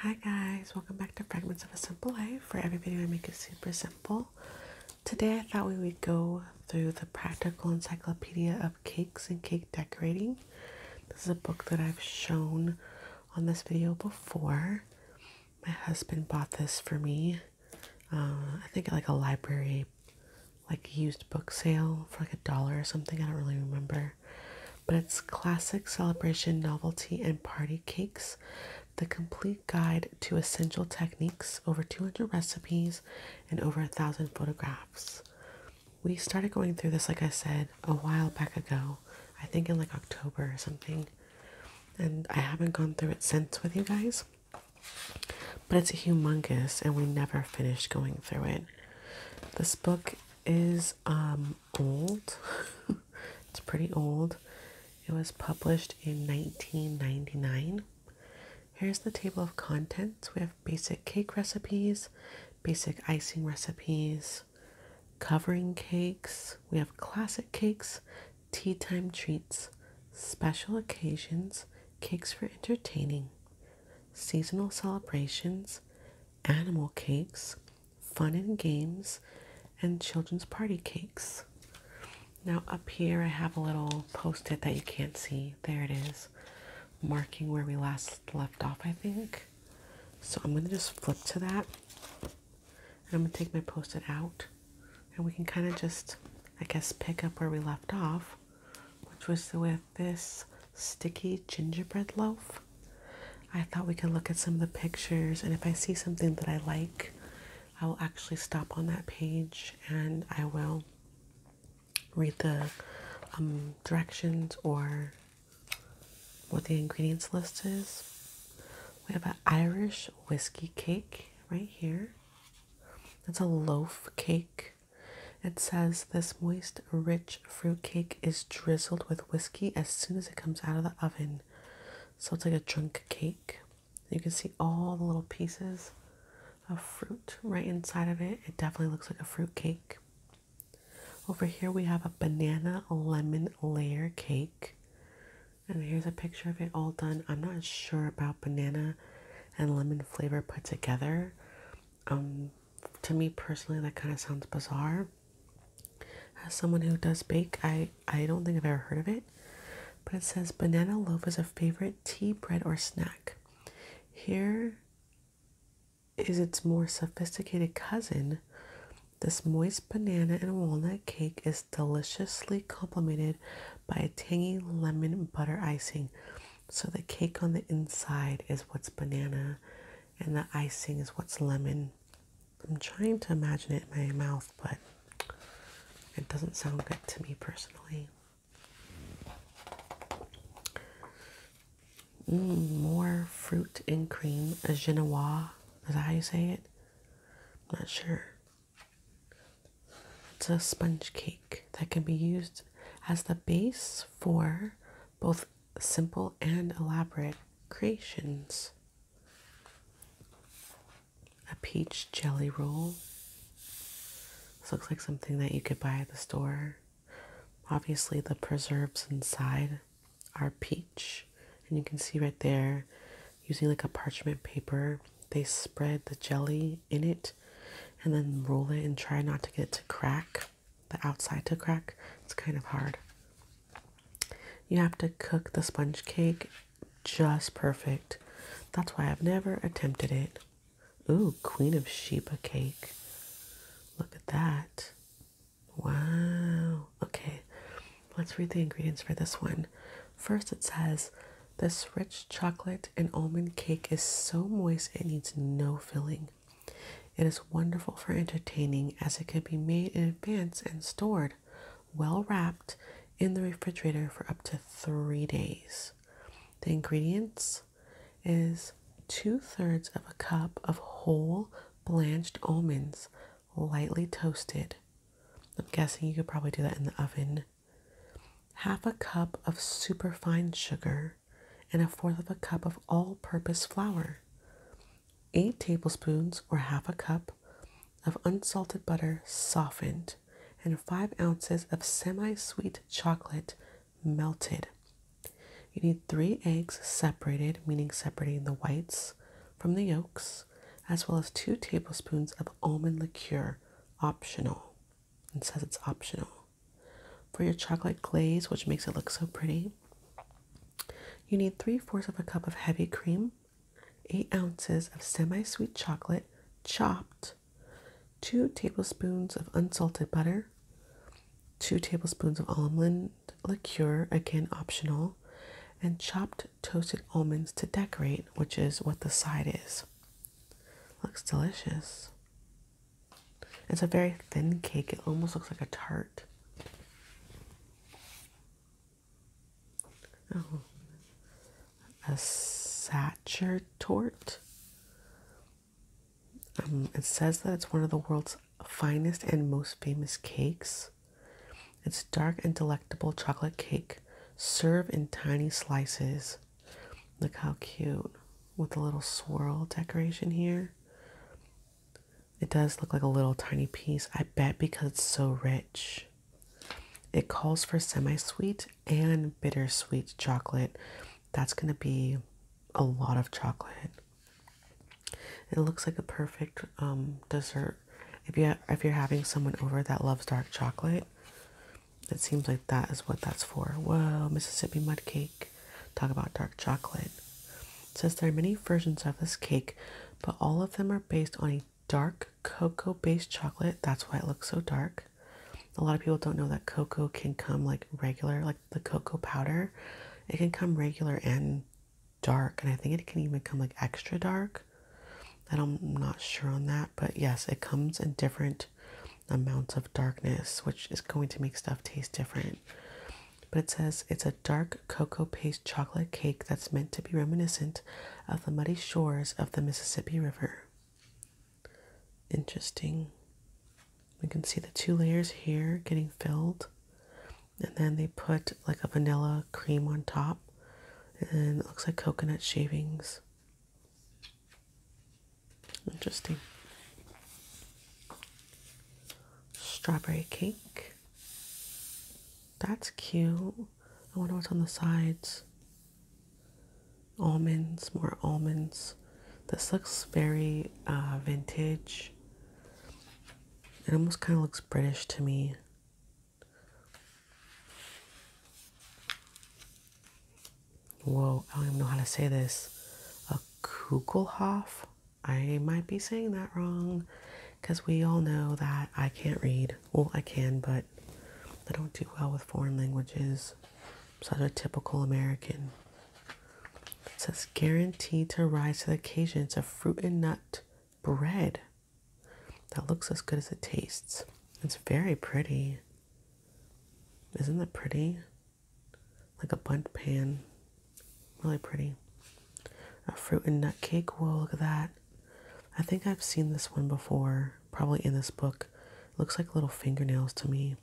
Hi guys, welcome back to Fragments of a Simple Life, For every video I make is super simple. Today I thought we would go through the Practical Encyclopedia of Cakes and Cake Decorating. This is a book that I've shown on this video before. My husband bought this for me uh, I think like a library like used book sale for like a dollar or something. I don't really remember. But it's classic celebration, novelty, and party cakes. The complete guide to essential techniques, over 200 recipes, and over a thousand photographs. We started going through this, like I said, a while back ago. I think in like October or something. And I haven't gone through it since with you guys. But it's humongous, and we never finished going through it. This book is um, old, it's pretty old. It was published in 1999. Here's the table of contents we have basic cake recipes, basic icing recipes, covering cakes, we have classic cakes, tea time treats, special occasions, cakes for entertaining, seasonal celebrations, animal cakes, fun and games, and children's party cakes. Now, up here, I have a little post it that you can't see. There it is, marking where we last left off, I think. So I'm going to just flip to that. And I'm going to take my post it out and we can kind of just, I guess, pick up where we left off, which was with this sticky gingerbread loaf. I thought we could look at some of the pictures, and if I see something that I like, I will actually stop on that page and I will read the um, directions or what the ingredients list is. We have an Irish whiskey cake right here. It's a loaf cake. It says this moist, rich fruit cake is drizzled with whiskey as soon as it comes out of the oven. So it's like a drunk cake. You can see all the little pieces of fruit right inside of it. It definitely looks like a fruit cake. Over here we have a banana lemon layer cake. And here's a picture of it all done. I'm not sure about banana and lemon flavor put together. Um, to me personally, that kind of sounds bizarre. As someone who does bake, I, I don't think I've ever heard of it. But it says banana loaf is a favorite tea, bread, or snack. Here is its more sophisticated cousin. This moist banana and walnut cake is deliciously complemented by a tangy lemon butter icing. So the cake on the inside is what's banana and the icing is what's lemon. I'm trying to imagine it in my mouth, but it doesn't sound good to me personally. Mm, more fruit and cream, a genoise. Is that how you say it? not sure. It's a sponge cake that can be used as the base for both simple and elaborate creations. A peach jelly roll. This looks like something that you could buy at the store. Obviously, the preserves inside are peach, and you can see right there using like a parchment paper, they spread the jelly in it and then roll it and try not to get it to crack, the outside to crack. It's kind of hard. You have to cook the sponge cake just perfect. That's why I've never attempted it. Ooh, Queen of Sheba cake. Look at that. Wow. Okay. Let's read the ingredients for this one. First, it says, This rich chocolate and almond cake is so moist it needs no filling. It is wonderful for entertaining as it can be made in advance and stored, well wrapped, in the refrigerator for up to three days. The ingredients is two thirds of a cup of whole blanched almonds, lightly toasted. I'm guessing you could probably do that in the oven half a cup of superfine sugar, and a fourth of a cup of all purpose flour, eight tablespoons or half a cup of unsalted butter softened, and five ounces of semi sweet chocolate melted. You need three eggs separated, meaning separating the whites from the yolks, as well as two tablespoons of almond liqueur, optional. It says it's optional. For your chocolate glaze, which makes it look so pretty, you need three fourths of a cup of heavy cream, eight ounces of semi sweet chocolate chopped, two tablespoons of unsalted butter, two tablespoons of almond liqueur, again optional, and chopped toasted almonds to decorate, which is what the side is. Looks delicious. It's a very thin cake. It almost looks like a tart. Oh, a Satcher tort. Um, it says that it's one of the world's finest and most famous cakes. Its dark and delectable chocolate cake serve in tiny slices. Look how cute with a little swirl decoration here. It does look like a little tiny piece, I bet because it's so rich. It calls for semi sweet and bittersweet chocolate. That's going to be a lot of chocolate. It looks like a perfect um, dessert if you if you're having someone over that loves dark chocolate, it seems like that is what that's for. Whoa, Mississippi mud cake. Talk about dark chocolate. It says there are many versions of this cake, but all of them are based on a dark cocoa based chocolate. That's why it looks so dark. A lot of people don't know that cocoa can come like regular, like the cocoa powder. It can come regular and dark and I think it can even come like extra dark I'm not sure on that but yes it comes in different amounts of darkness which is going to make stuff taste different but it says it's a dark cocoa paste chocolate cake that's meant to be reminiscent of the muddy shores of the Mississippi River interesting we can see the two layers here getting filled and then they put like a vanilla cream on top and it looks like coconut shavings. Interesting. Strawberry cake. That's cute. I wonder what's on the sides. Almonds, more almonds. This looks very uh, vintage. It almost kind of looks British to me. Whoa, I don't even know how to say this. A Kugelhof? I might be saying that wrong because we all know that I can't read. Well, I can, but I don't do well with foreign languages. I'm such a typical American. says guaranteed to rise to the occasion. It's a fruit and nut bread. That looks as good as it tastes. It's very pretty. Isn't it pretty? Like a bundt pan. Really pretty. A fruit and nut cake. Whoa, look at that. I think I've seen this one before, probably in this book. looks like little fingernails to me.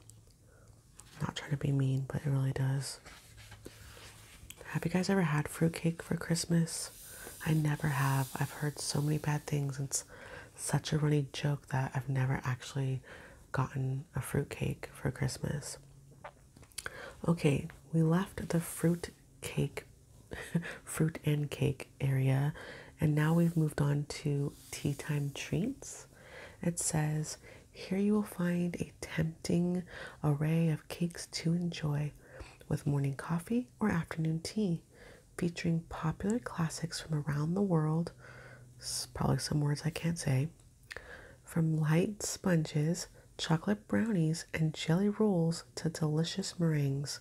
not trying to be mean, but it really does. Have you guys ever had fruitcake for Christmas? I never have. I've heard so many bad things. It's such a running joke that I've never actually gotten a fruit cake for Christmas. Okay, we left the fruit cake, fruit and cake area, and now we've moved on to tea time treats. It says, Here you will find a tempting array of cakes to enjoy with morning coffee or afternoon tea, featuring popular classics from around the world. Probably some words I can't say. From light sponges, chocolate brownies, and jelly rolls to delicious meringues.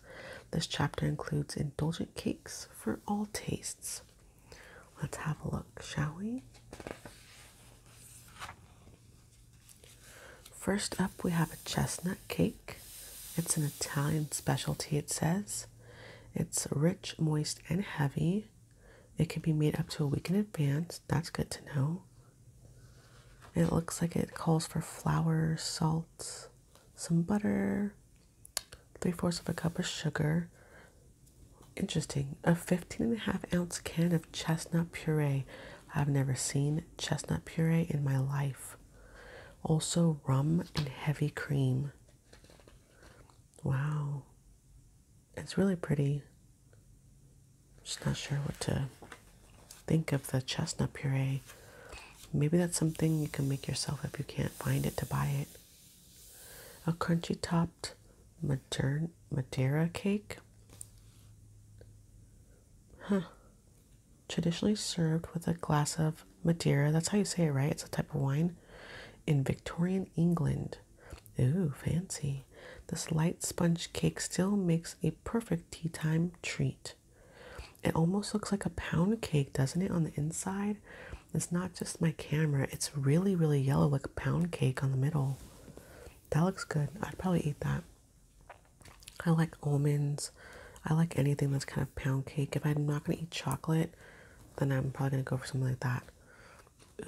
This chapter includes indulgent cakes for all tastes. Let's have a look, shall we? First up, we have a chestnut cake. It's an Italian specialty, it says. It's rich, moist, and heavy. It can be made up to a week in advance. That's good to know. It looks like it calls for flour, salt, some butter, three fourths of a cup of sugar. Interesting. A 15 and a half ounce can of chestnut puree. I've never seen chestnut puree in my life. Also, rum and heavy cream. Wow. It's really pretty. Just not sure what to think of the chestnut puree. Maybe that's something you can make yourself if you can't find it to buy it. A crunchy topped Madeira cake. Traditionally served with a glass of Madeira. That's how you say it, right? It's a type of wine. In Victorian England. Ooh, fancy. This light sponge cake still makes a perfect tea time treat. It almost looks like a pound cake, doesn't it, on the inside? It's not just my camera. It's really, really yellow, like a pound cake on the middle. That looks good. I'd probably eat that. I like almonds. I like anything that's kind of pound cake. If I'm not going to eat chocolate, then I'm probably going to go for something like that.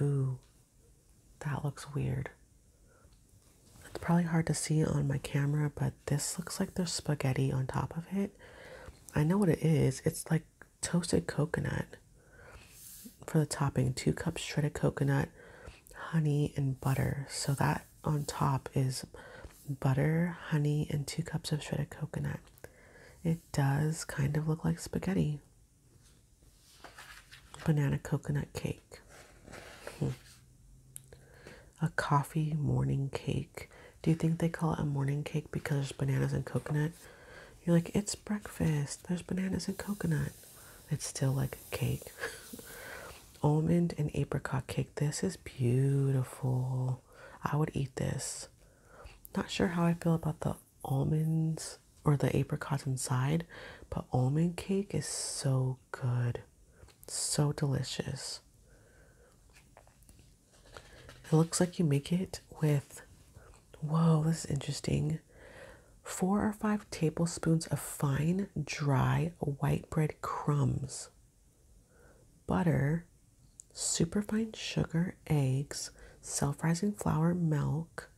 Ooh, that looks weird. It's probably hard to see on my camera, but this looks like there's spaghetti on top of it. I know what it is. It's like toasted coconut for the topping. Two cups shredded coconut, honey and butter. So that on top is butter, honey, and two cups of shredded coconut. It does kind of look like spaghetti. Banana coconut cake. Hmm. A coffee morning cake. Do you think they call it a morning cake because there's bananas and coconut? You're like, it's breakfast. There's bananas and coconut it's still like a cake. Almond and apricot cake. This is beautiful. I would eat this. Not sure how I feel about the almonds or the apricots inside, but almond cake is so good. So delicious. It looks like you make it with, whoa, this is interesting four or five tablespoons of fine, dry white bread crumbs, butter, superfine sugar, eggs, self rising flour, milk,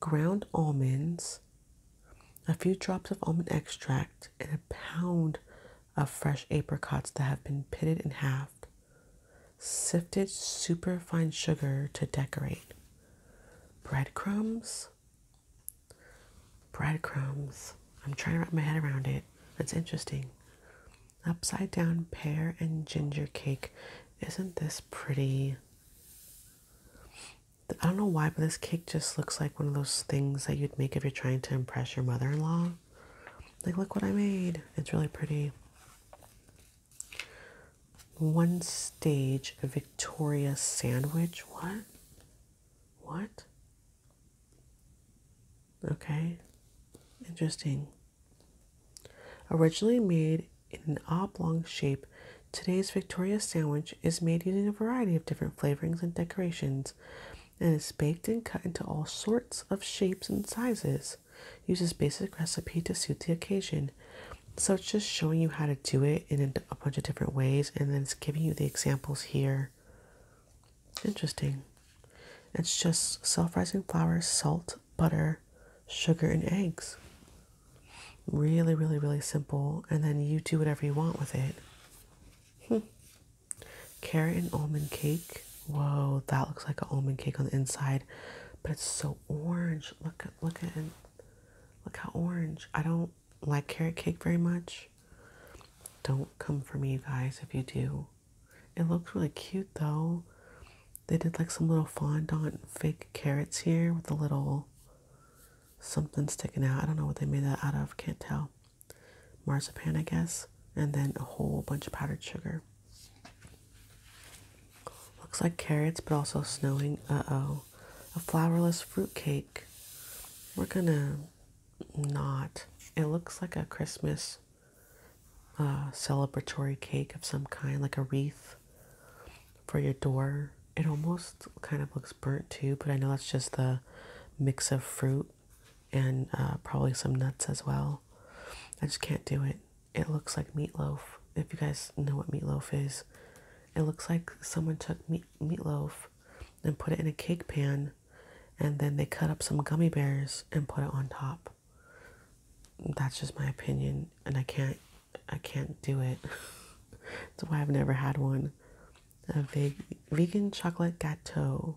ground almonds, a few drops of almond extract, and a pound of fresh apricots that have been pitted and halved. Sifted superfine sugar to decorate. Bread crumbs. Bread crumbs. I'm trying to wrap my head around it. That's interesting. Upside down pear and ginger cake. Isn't this pretty? I don't know why, but this cake just looks like one of those things that you'd make if you're trying to impress your mother in law. Like, look what I made. It's really pretty one stage Victoria sandwich. What? What? Okay, interesting. Originally made in an oblong shape, today's Victoria sandwich is made using a variety of different flavorings and decorations and is baked and cut into all sorts of shapes and sizes. Uses basic recipe to suit the occasion. So it's just showing you how to do it in a bunch of different ways, and then it's giving you the examples here. Interesting. It's just self rising flour, salt, butter, sugar, and eggs. Really, really, really simple, and then you do whatever you want with it. Hmm. Carrot and almond cake. Whoa, that looks like an almond cake on the inside, but it's so orange. Look at look at it. Look how orange. I don't like carrot cake very much. Don't come for me, you guys, if you do. It looks really cute, though. They did like some little fondant fake carrots here with a little something sticking out. I don't know what they made that out of. Can't tell. Marzipan, I guess. And then a whole bunch of powdered sugar. Looks like carrots, but also snowing. Uh oh. A flowerless fruit cake. We're gonna not. It looks like a Christmas uh, celebratory cake of some kind, like a wreath for your door. It almost kind of looks burnt too, but I know that's just the mix of fruit and uh, probably some nuts as well. I just can't do it. It looks like meatloaf. If you guys know what meatloaf is, it looks like someone took meat meatloaf and put it in a cake pan and then they cut up some gummy bears and put it on top. That's just my opinion and I can't I can't do it. That's why I've never had one. A veg vegan chocolate gâteau.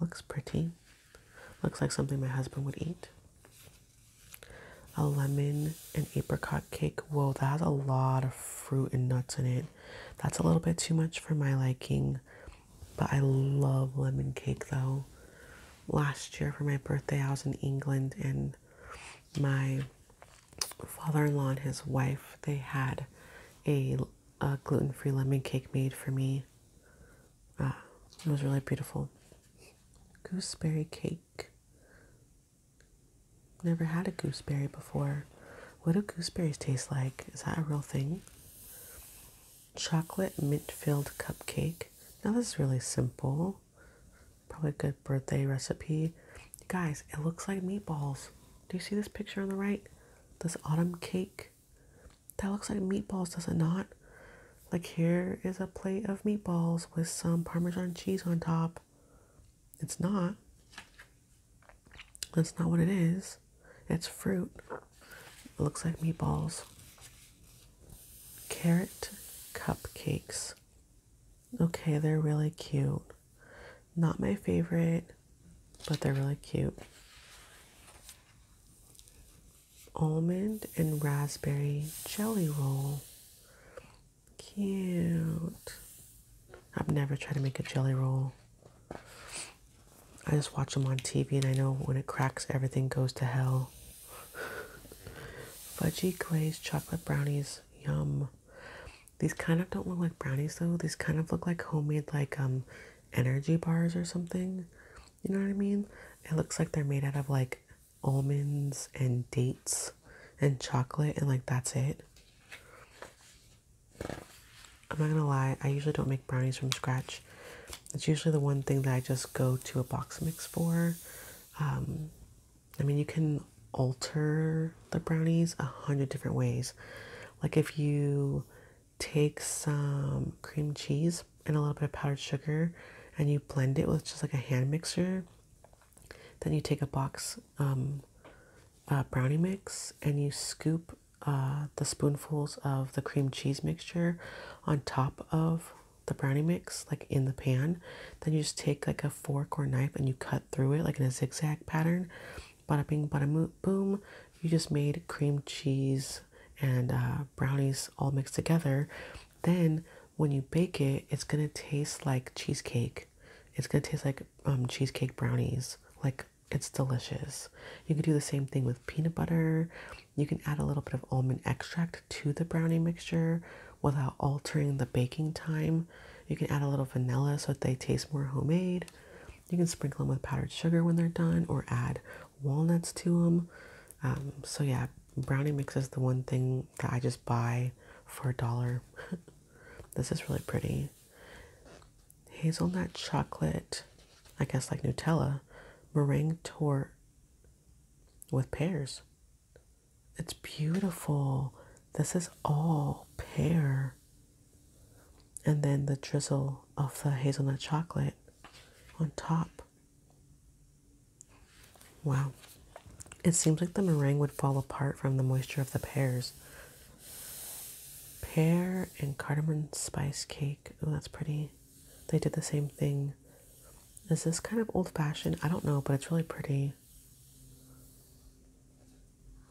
Looks pretty. Looks like something my husband would eat a lemon and apricot cake. Whoa, that has a lot of fruit and nuts in it. That's a little bit too much for my liking, but I love lemon cake though. Last year for my birthday, I was in England and my father in law and his wife they had a, a gluten free lemon cake made for me. Ah, it was really beautiful. Gooseberry cake. Never had a gooseberry before. What do gooseberries taste like? Is that a real thing? Chocolate mint filled cupcake. Now, this is really simple. Probably a good birthday recipe. Guys, it looks like meatballs. Do you see this picture on the right? This autumn cake. That looks like meatballs, does it not? Like, here is a plate of meatballs with some Parmesan cheese on top. It's not. That's not what it is. It's fruit. looks like meatballs. Carrot cupcakes. Okay, they're really cute. Not my favorite, but they're really cute. Almond and raspberry jelly roll. Cute. I've never tried to make a jelly roll. I just watch them on TV and I know when it cracks, everything goes to hell. Fudgy glazed chocolate brownies. Yum. These kind of don't look like brownies though. These kind of look like homemade like um energy bars or something. You know what I mean? It looks like they're made out of like almonds and dates and chocolate and like that's it. I'm not gonna lie, I usually don't make brownies from scratch. It's usually the one thing that I just go to a box mix for. Um, I mean, you can alter the brownies a hundred different ways. Like if you take some cream cheese and a little bit of powdered sugar and you blend it with just like a hand mixer, then you take a box um, uh, brownie mix and you scoop uh, the spoonfuls of the cream cheese mixture on top of the brownie mix, like in the pan. Then you just take like a fork or knife and you cut through it, like in a zigzag pattern. Bada bing, bada boom. You just made cream cheese and uh, brownies all mixed together. Then when you bake it, it's gonna taste like cheesecake. It's gonna taste like um, cheesecake brownies. Like it's delicious. You can do the same thing with peanut butter. You can add a little bit of almond extract to the brownie mixture without altering the baking time. You can add a little vanilla so that they taste more homemade. You can sprinkle them with powdered sugar when they're done or add walnuts to them. Um, so, yeah, brownie mix is the one thing that I just buy for a dollar. this is really pretty. Hazelnut chocolate, I guess like Nutella, meringue tort with pears. It's beautiful. This is all pear. And then the drizzle of the hazelnut chocolate on top. Wow. It seems like the meringue would fall apart from the moisture of the pears. Pear and cardamom spice cake. Oh, that's pretty. They did the same thing. Is this kind of old fashioned? I don't know, but it's really pretty.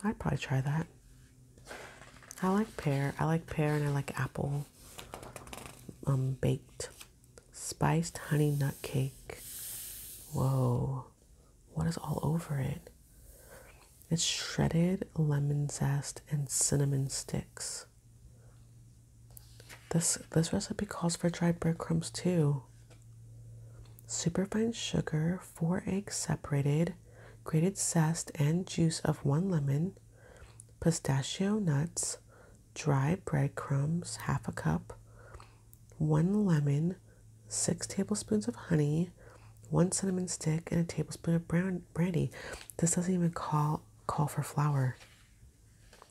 I'd probably try that. I like pear. I like pear and I like apple um, baked. Spiced honey nut cake. Whoa. What is all over it? It's shredded lemon zest and cinnamon sticks. This this recipe calls for dried breadcrumbs too. Superfine sugar, four eggs separated, grated zest and juice of one lemon, pistachio nuts, dry breadcrumbs, half a cup, one lemon, six tablespoons of honey, one cinnamon stick, and a tablespoon of brown brandy. This doesn't even call call for flour.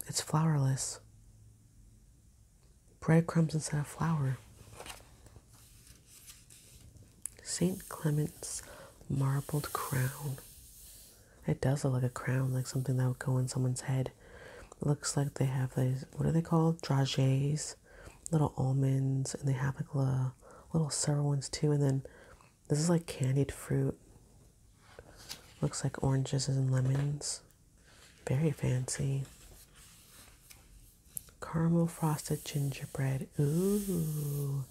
It's flourless. Breadcrumbs instead of flour. St. Clement's marbled crown. It does look like a crown, like something that would go in someone's head. looks like they have these, what are they called? Dragees, little almonds, and they have like little, little sour ones too. And then this is like candied fruit. Looks like oranges and lemons. Very fancy. Caramel frosted gingerbread. Ooh.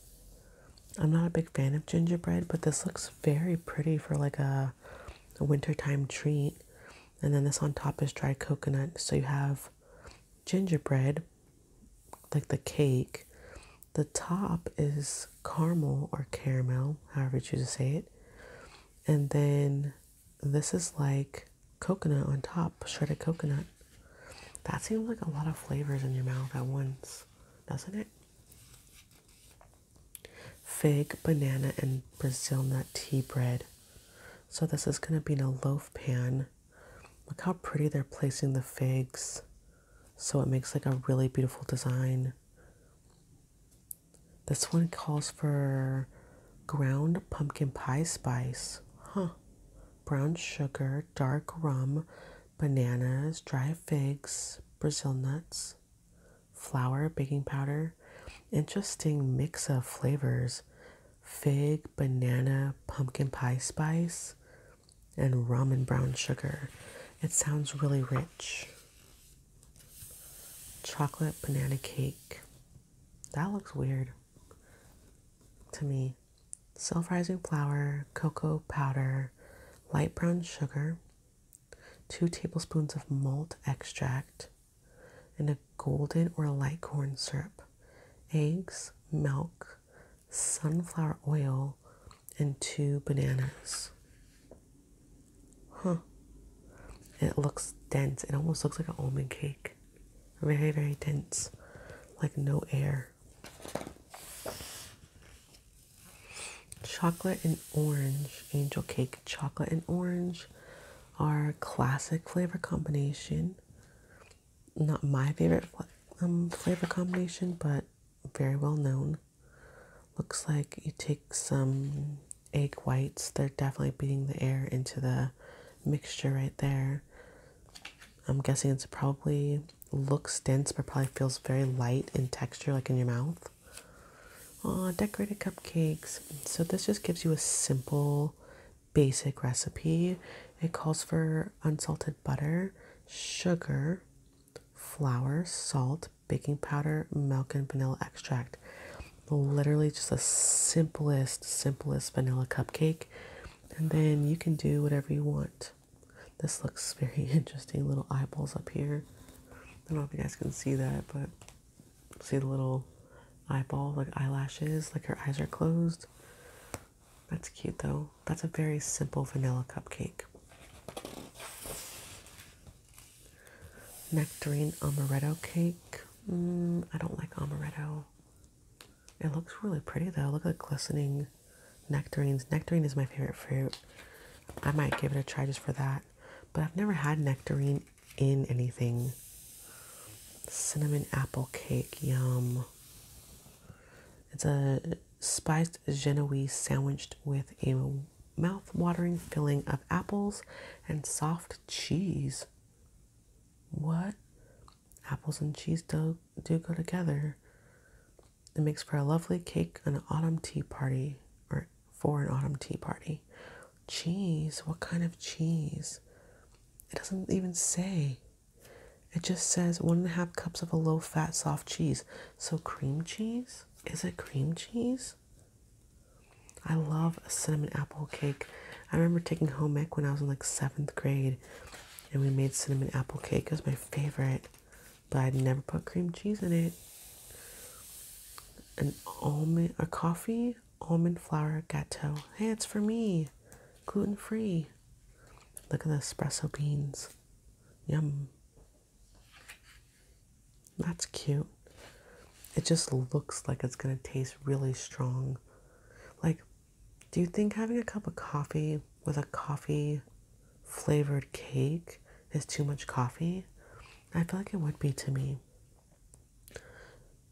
I'm not a big fan of gingerbread, but this looks very pretty for like a a, wintertime treat. And then this on top is dried coconut. So you have gingerbread, like the cake. The top is caramel or caramel, however you choose to say it. And then this is like coconut on top, shredded coconut. That seems like a lot of flavors in your mouth at once, doesn't it? fig, banana, and Brazil nut tea bread. So this is going to be in a loaf pan. Look how pretty they're placing the figs. So it makes like a really beautiful design. This one calls for ground pumpkin pie spice. Huh. Brown sugar, dark rum, bananas, dry figs, Brazil nuts, flour, baking powder, interesting mix of flavors fig, banana, pumpkin pie spice, and rum and brown sugar. It sounds really rich. Chocolate banana cake. That looks weird to me. Self rising flour, cocoa powder, light brown sugar, 2 tablespoons of malt extract, and a golden or light corn syrup, eggs, milk, sunflower oil, and 2 bananas. Huh. it looks dense. It almost looks like an almond cake. Very, very dense. Like no air. Chocolate and orange, angel cake. Chocolate and orange are classic flavor combination. Not my favorite um, flavor combination, but very well known. Looks like you take some egg whites. They're definitely beating the air into the mixture right there. I'm guessing it's probably looks dense but probably feels very light in texture, like in your mouth. Oh, decorated cupcakes. So this just gives you a simple, basic recipe. It calls for unsalted butter, sugar, flour, salt, baking powder, milk, and vanilla extract. Literally just the simplest, simplest vanilla cupcake. And then you can do whatever you want. This looks very interesting. Little eyeballs up here. I don't know if you guys can see that, but see the little eyeball, like eyelashes, like her eyes are closed. That's cute though. That's a very simple vanilla cupcake. Nectarine amaretto cake. Mm, I don't like amaretto. It looks really pretty though. Look at the glistening Nectarines. Nectarine is my favorite fruit. I might give it a try just for that. But I've never had nectarine in anything. Cinnamon apple cake. Yum. It's a spiced Genoese sandwiched with a mouth-watering filling of apples and soft cheese. What? Apples and cheese do, do go together. It makes for a lovely cake an autumn tea party or for an autumn tea party. Cheese, what kind of cheese? It doesn't even say. It just says one and a half cups of a low fat soft cheese. So cream cheese? Is it cream cheese? I love cinnamon apple cake. I remember taking home ec when I was in like seventh grade and we made cinnamon apple cake. It was my favorite but I never put cream cheese in it. An almond, a coffee almond flour gato. Hey, it's for me. Gluten free. Look at the espresso beans. Yum. That's cute. It just looks like it's going to taste really strong. Like, do you think having a cup of coffee with a coffee flavored cake is too much coffee. I feel like it would be to me.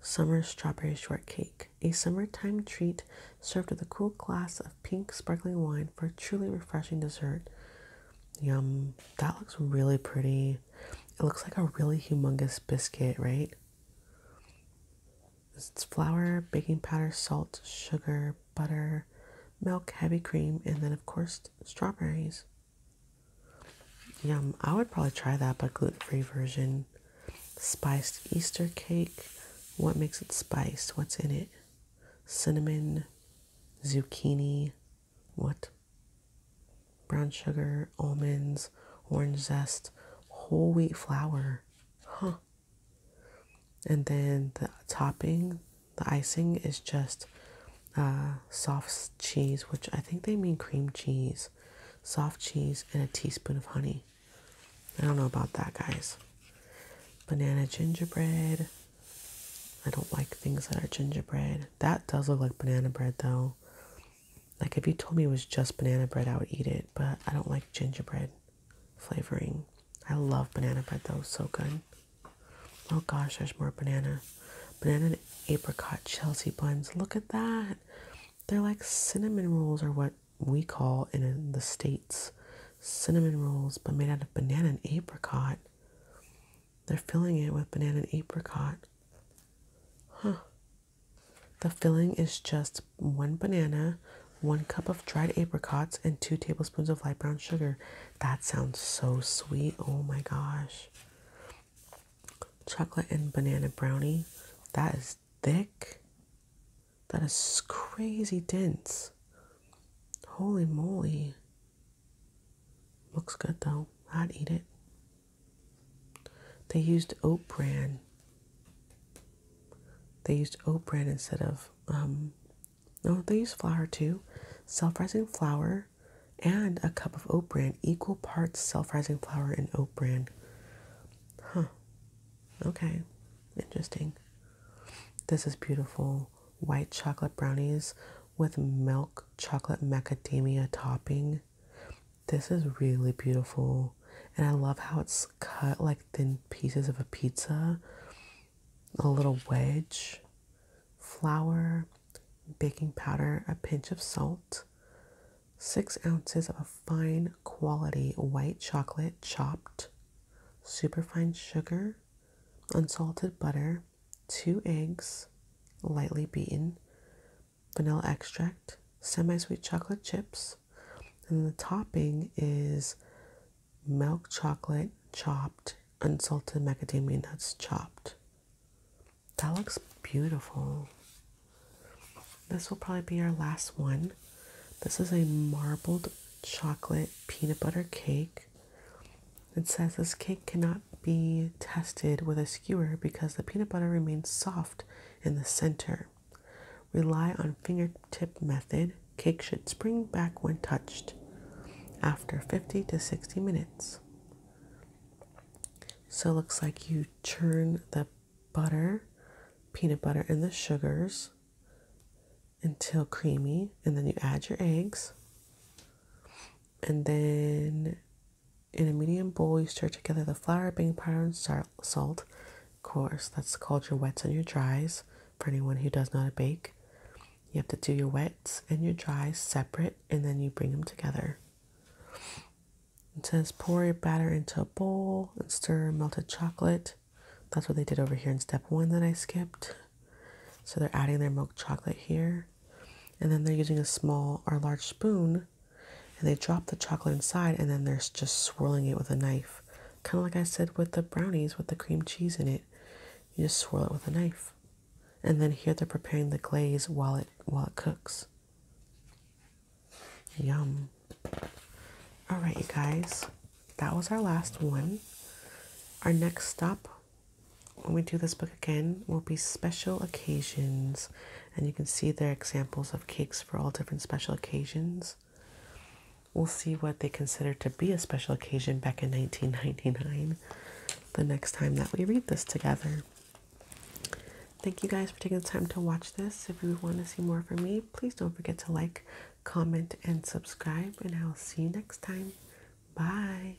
Summer strawberry shortcake, a summertime treat served with a cool glass of pink sparkling wine for a truly refreshing dessert. Yum. That looks really pretty. It looks like a really humongous biscuit, right? It's flour, baking powder, salt, sugar, butter, milk, heavy cream, and then, of course, strawberries. Yum. I would probably try that, but gluten free version. Spiced Easter cake. What makes it spiced? What's in it? Cinnamon, zucchini, what? Brown sugar, almonds, orange zest, whole wheat flour. Huh. And then the topping, the icing is just uh, soft cheese, which I think they mean cream cheese, soft cheese, and a teaspoon of honey. I don't know about that, guys. Banana gingerbread. I don't like things that are gingerbread. That does look like banana bread, though. Like, if you told me it was just banana bread, I would eat it, but I don't like gingerbread flavoring. I love banana bread though, so good. Oh gosh, there's more banana. Banana and apricot Chelsea buns. Look at that. They're like cinnamon rolls are what we call in the States cinnamon rolls, but made out of banana and apricot. They're filling it with banana and apricot. Huh. The filling is just one banana, one cup of dried apricots, and two tablespoons of light brown sugar. That sounds so sweet. Oh my gosh. Chocolate and banana brownie. That is thick. That is crazy dense. Holy moly. Looks good though. I'd eat it. They used oat bran they used oat bran instead of, um, no, they use flour too. Self rising flour and a cup of oat bran, equal parts self rising flour and oat bran. Huh. Okay. Interesting. This is beautiful. White chocolate brownies with milk chocolate macadamia topping. This is really beautiful. And I love how it's cut like thin pieces of a pizza, a little wedge, flour, baking powder, a pinch of salt, six ounces of fine quality white chocolate chopped, superfine sugar, unsalted butter, two eggs, lightly beaten, vanilla extract, semi sweet chocolate chips, and the topping is milk chocolate chopped, unsalted macadamia nuts chopped. That looks beautiful. This will probably be our last one. This is a marbled chocolate peanut butter cake. It says this cake cannot be tested with a skewer because the peanut butter remains soft in the center. Rely on fingertip method. Cake should spring back when touched after 50 to 60 minutes. So it looks like you churn the butter, peanut butter, and the sugars until creamy, and then you add your eggs. And then in a medium bowl, you stir together the flour, baking powder, and starch salt, of course. That's called your wets and your dries for anyone who does not bake. You have to do your wets and your dries separate and then you bring them together. It says pour your batter into a bowl and stir melted chocolate. That's what they did over here in step one that I skipped. So they're adding their milk chocolate here. And then they're using a small or large spoon and they drop the chocolate inside and then they're just swirling it with a knife Kind of like I said with the brownies with the cream cheese in it. You just swirl it with a knife. And then here they're preparing the glaze while it while it cooks. Yum. Alright, you guys. That was our last one. Our next stop when we do this book again will be special occasions and you can see their examples of cakes for all different special occasions We'll see what they considered to be a special occasion back in 1999 the next time that we read this together. Thank you guys for taking the time to watch this. If you want to see more from me, please don't forget to like, comment, and subscribe. And I'll see you next time. Bye.